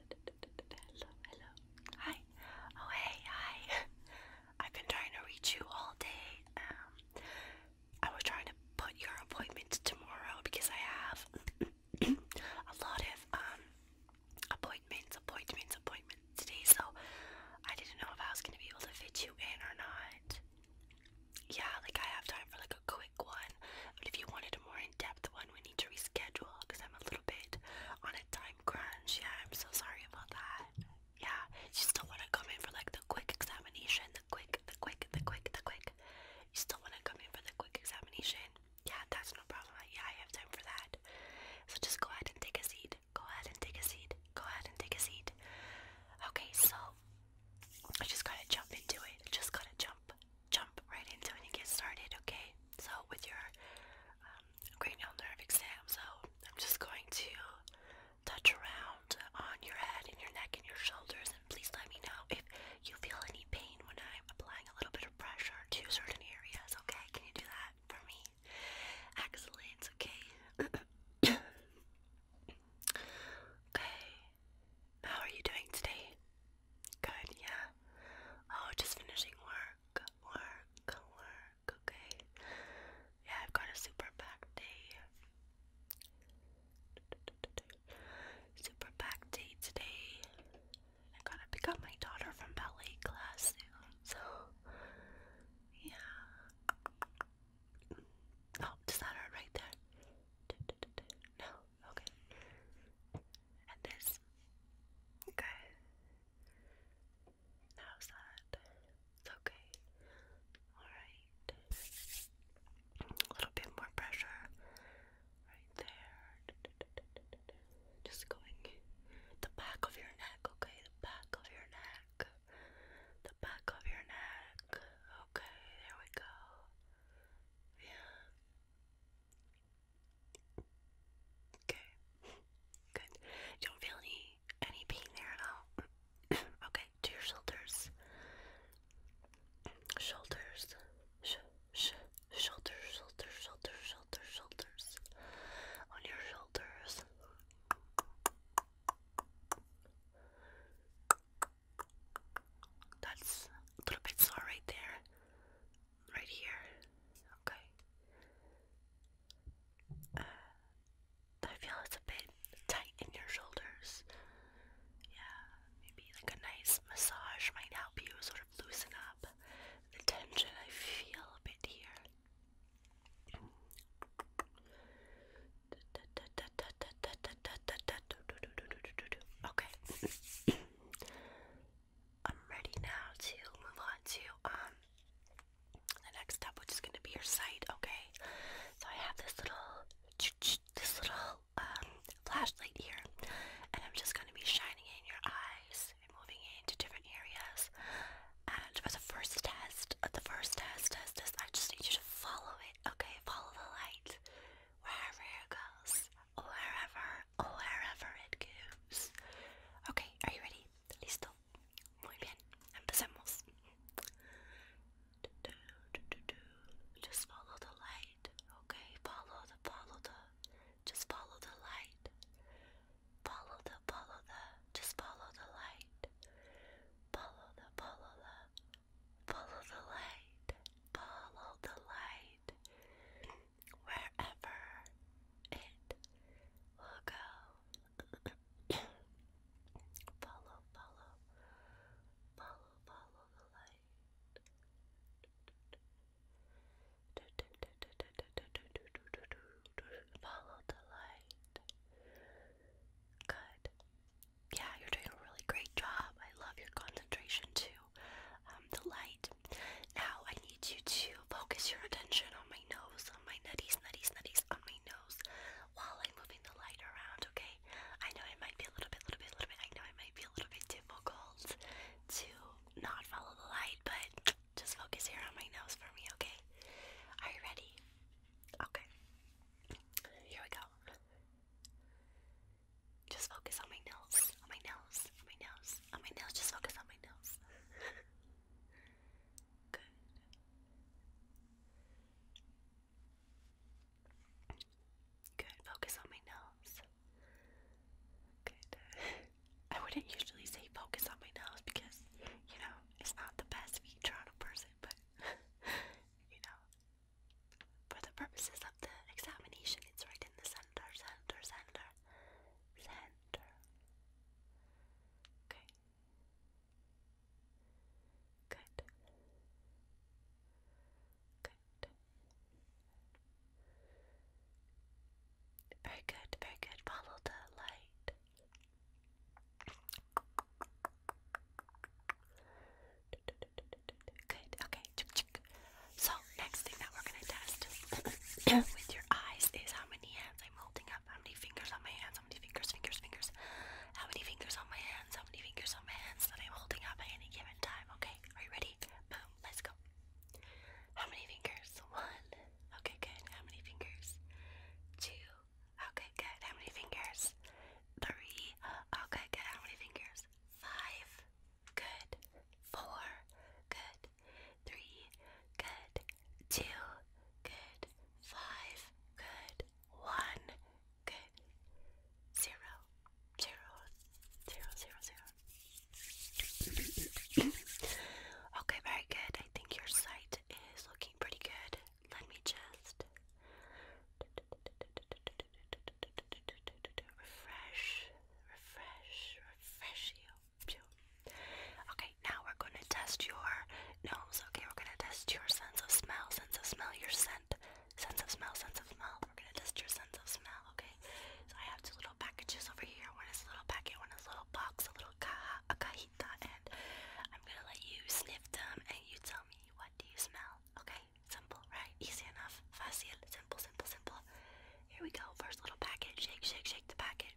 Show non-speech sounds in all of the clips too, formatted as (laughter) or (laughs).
Hello, hello. Hi. Oh, hey, hi. (laughs) I've been trying to reach you all day. Um, I was trying to put your appointment tomorrow because I have (clears throat) a lot of um appointments, appointments, appointments today, so I didn't know if I was gonna be able to fit you in or not. Yeah, like I have time for like a quick one, but if you wanted a more in-depth one, we need to reschedule because I'm a little bit on a time crunch. Yeah, I'm so sorry about that. Yeah, you still want to come in for like the quick examination, the quick, the quick, the quick, the quick. You still want to come in for the quick examination? Yeah, that's no problem. Yeah, I have time for that. So just go ahead and take a seat. Go ahead and take a seat. Go ahead and take a seat. Okay, so I just gotta jump into it. Just gotta jump, jump right into it and get started. Okay, so with your cranial um, nerve exam, so I'm just going to touch around on your head and your neck and your shoulders, and please let me know if you feel any pain when I'm applying a little bit of pressure to certain areas. Okay, can you do that for me? Excellent, okay. (coughs) okay. How are you doing today? Good, yeah. Oh, just finishing work, work, work, okay. Yeah, I've got a super back day. Super packed day today. I gotta pick up my daughter from ballet class soon, so yeah. Oh, does that right there? No? Okay. And this? Okay. How's that? It's okay. Alright. A little bit more pressure right there. Just going the back of your neck, okay? The back of your neck the back of your neck. Okay, there we go. Yeah. Okay. Good. You don't feel any any pain there at all. (clears throat) okay, to your shoulders. Shoulders. Sh sh shoulders, shoulders, shoulders, shoulders, shoulders. On your shoulders. That's a little bit sore right there. Right here. Okay. I uh, feel it's a bit tight in your shoulders. Yeah, maybe like a nice massage might help you sort of loosen up the tension I feel a bit here. Okay. I'm ready now to move on to um the next step, which is going to be your sight. Okay. So I have this little this little um flashlight here, and I'm just going to be shining it in your eyes and moving it into different areas. And for the first test, uh, the first test test I just need you to follow it, okay? Follow the light wherever it goes, wherever, wherever it goes. Okay, are you ready? Listo. Muy bien. Empecemos. Just follow the light, okay? Follow the, follow the, just follow the light. Follow the, follow the, just follow the light. Follow the, follow the, follow the light. Follow the light. Wherever it will go. follow, follow, follow, follow the light. Follow the light. Good. Yeah, you're doing a really great job. I love your concentration too. Um, the light. Now I need you to focus your attention on my nose, on my nutties, nutties, nutties, on my nose, while I'm moving the light around. Okay. I know it might be a little bit, little bit, little bit. I know it might be a little bit difficult to not follow the light, but just focus here on my nose for me, okay? Are you ready? Okay. Here we go. Just focus on my nose, on my nose, on my nose, on my nose. Just focus on my nose. (laughs) Good. Good. Focus on my nose. Good. (laughs) I wouldn't usually say focus on my nose because, you know, it's not the best feature on a person, but (laughs) you know, for the purposes of the examination, it's right in the center, center, center, center. Okay. Good. Good. Very good, very good. Follow the light. Good, okay. So, next thing that we're gonna test (coughs) with your eyes is how many hands I'm holding up, how many fingers on my hands, how many fingers, fingers, fingers, how many fingers on my hands, how many fingers on my hands that I'm holding up at any given time, okay? Are you ready? Boom, let's go. How many fingers? One. Okay, good. How many fingers? Two. Okay, good. How many fingers? Three. Okay, good. How many fingers? Five. Good. Four. Good. Three. Good. Two. Good. Five. Good. One. Good. Zero. Zero. Zero, zero, zero. okay, very good. I think your sight is looking pretty good. Let me just refresh, refresh, refresh you. Okay, now we're going to test your nose. Okay, we're going to test your sense of smell, sense of smell, your scent, sense of smell, sense of smell. We're going to test your sense of smell, okay? So I have two little packages over here. One is a little packet, one is a little box, a little caja, a cajita, and I'm gonna let you sniff them and you tell me what do you smell. Okay? Simple, right? Easy enough. Facile. Simple, simple, simple. Here we go. First little packet. Shake, shake, shake the packet.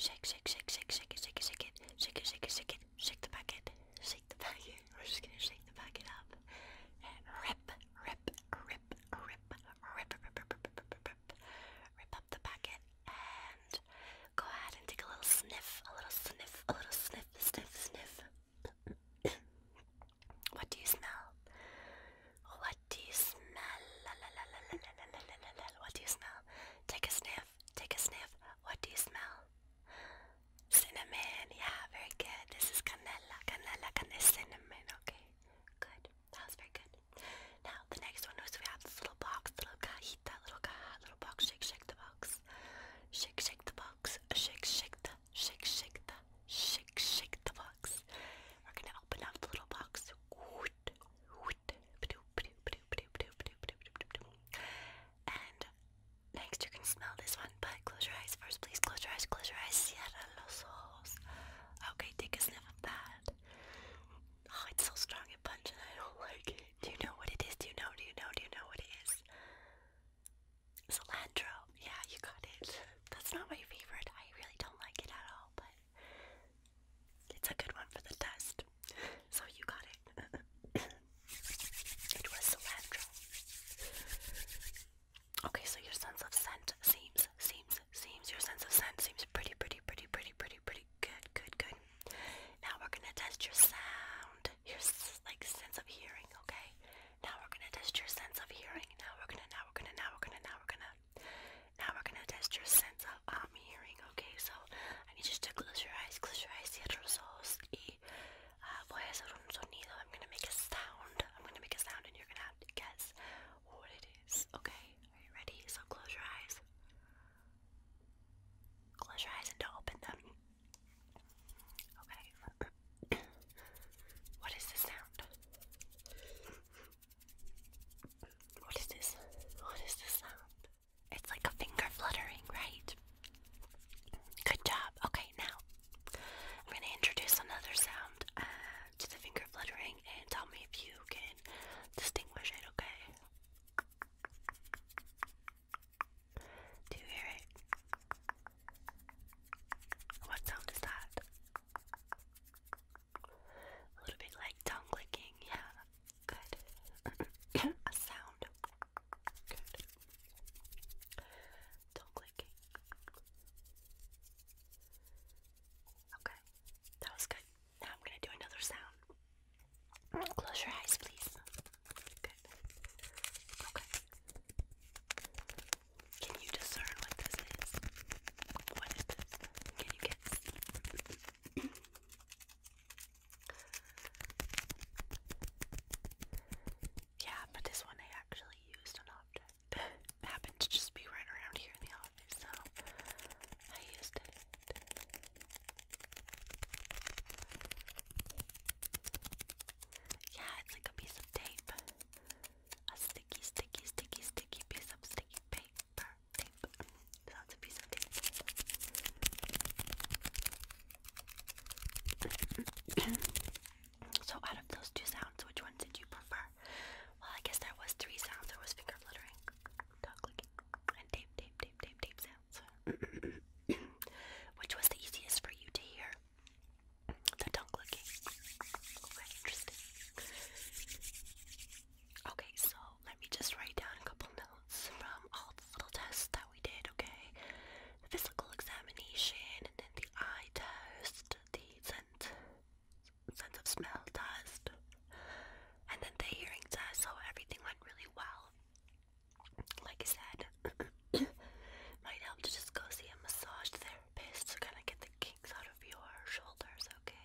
Shake, shake, shake, shake, shake it, shake it, shake it. Shake it, shake it, shake it. Shake the packet. Shake the packet. We're just gonna shake the packet up. And rip, rip, rip, rip, rip, rip, rip, rip up the packet and just go ahead and take a little sniff, a little sniff, a little sniff, sniff, sniff. (coughs) what do you smell? What do you smell? La, la, la, la, la, la, la, la, la. What do you smell? Take a sniff, take a sniff. What do you smell? Cinnamon, yeah, very good. This is canela, canela, canela, cinnamon, okay. Good, that was very good. Now, the next one is we have this little box, little cajita, little caja, little box, shake, shake the box. Shake, shake the box. Shake, shake the, shake, shake the, shake, shake the box. We're gonna open up the little box. And next you can smell this one, but close your eyes first, please. Close your eyes, close your eyes. Cierra los ojos. Okay, take a sniff of that. Oh, it's so strong and pungent. I don't like it. Do you know what it is? Do you know? Do you know? Do you know what it is? Cilantro. Yeah, you got it. That's not my favorite. I really don't like it at all, but it's a good one for the test. So you got it. (coughs) it was cilantro. Okay, so your sense of scent seems, seems, seems, your sense of scent seems pretty, pretty, pretty, pretty, pretty, pretty good, good, good. Now we're gonna test your sound, your like sense of hearing. Okay. Now we're gonna test your sense of hearing. Now we're gonna, now we're gonna, now we're gonna, now we're gonna, now we're gonna test your sense of um hearing. Okay. So I need you to close your eyes, close your eyes, cierra los ojos, y uh, voy a hacer un sonido. I'm gonna make a sound. I'm gonna make a sound, and you're gonna have to guess what it is. Okay. Are you ready? So close your eyes. Close your eyes. Close your eyes and don't open them. Okay. what is the sound? What is this? What is this sound? It's like a finger fluttering, right? Good job. Okay, now I'm going to introduce another sound uh, to the finger fluttering and tell me if you can distinguish it, okay? Do you hear it? What sound is that? A little bit like tongue clicking, yeah. Good. (coughs) A sound. Good. Tongue clicking. Okay, that was good. Now I'm gonna do another sound. Close your eyes, please. Good. Okay. Can you discern what this is? What is this? Can you guess? yeah, but this one I actually used an object. (laughs) happened to just be right around here in the office, so I used it. Yeah, it's like a piece of tape. A sticky, sticky, sticky, sticky piece of sticky paper. Tape. That's a piece of tape. (coughs) so, out of those two sounds, which one did you prefer? Well, I guess there was three sounds. There was finger fluttering, dog clicking, and tape, tape, tape, tape, tape which was the easiest for you to hear? The tongue Okay, interesting. Okay, so let me just write down a couple notes from all the little tests that we did, okay? physical examination, and then the eye test, the scent, sense of smell test, and then the hearing test, so everything went really well like I said, (coughs) might help to just go see a massage therapist to kind of get the kinks out of your shoulders, okay?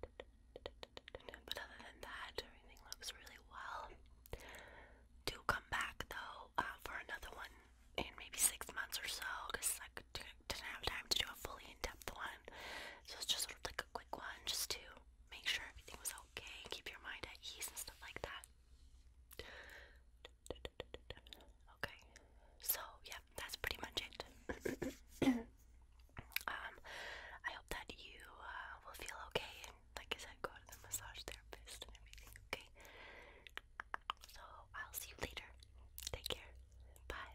But other than that, everything looks really well. Do come back though uh, for another one in maybe six months or so because I didn't have time to do a fully in depth one. So it's just sort of like quick one just to make sure everything was okay, keep your mind at ease and stuff like that. Okay, so yeah, that's pretty much it. (coughs) um, I hope that you uh, will feel okay and, like I said, go to the massage therapist and everything, okay? So I'll see you later. Take care. Bye.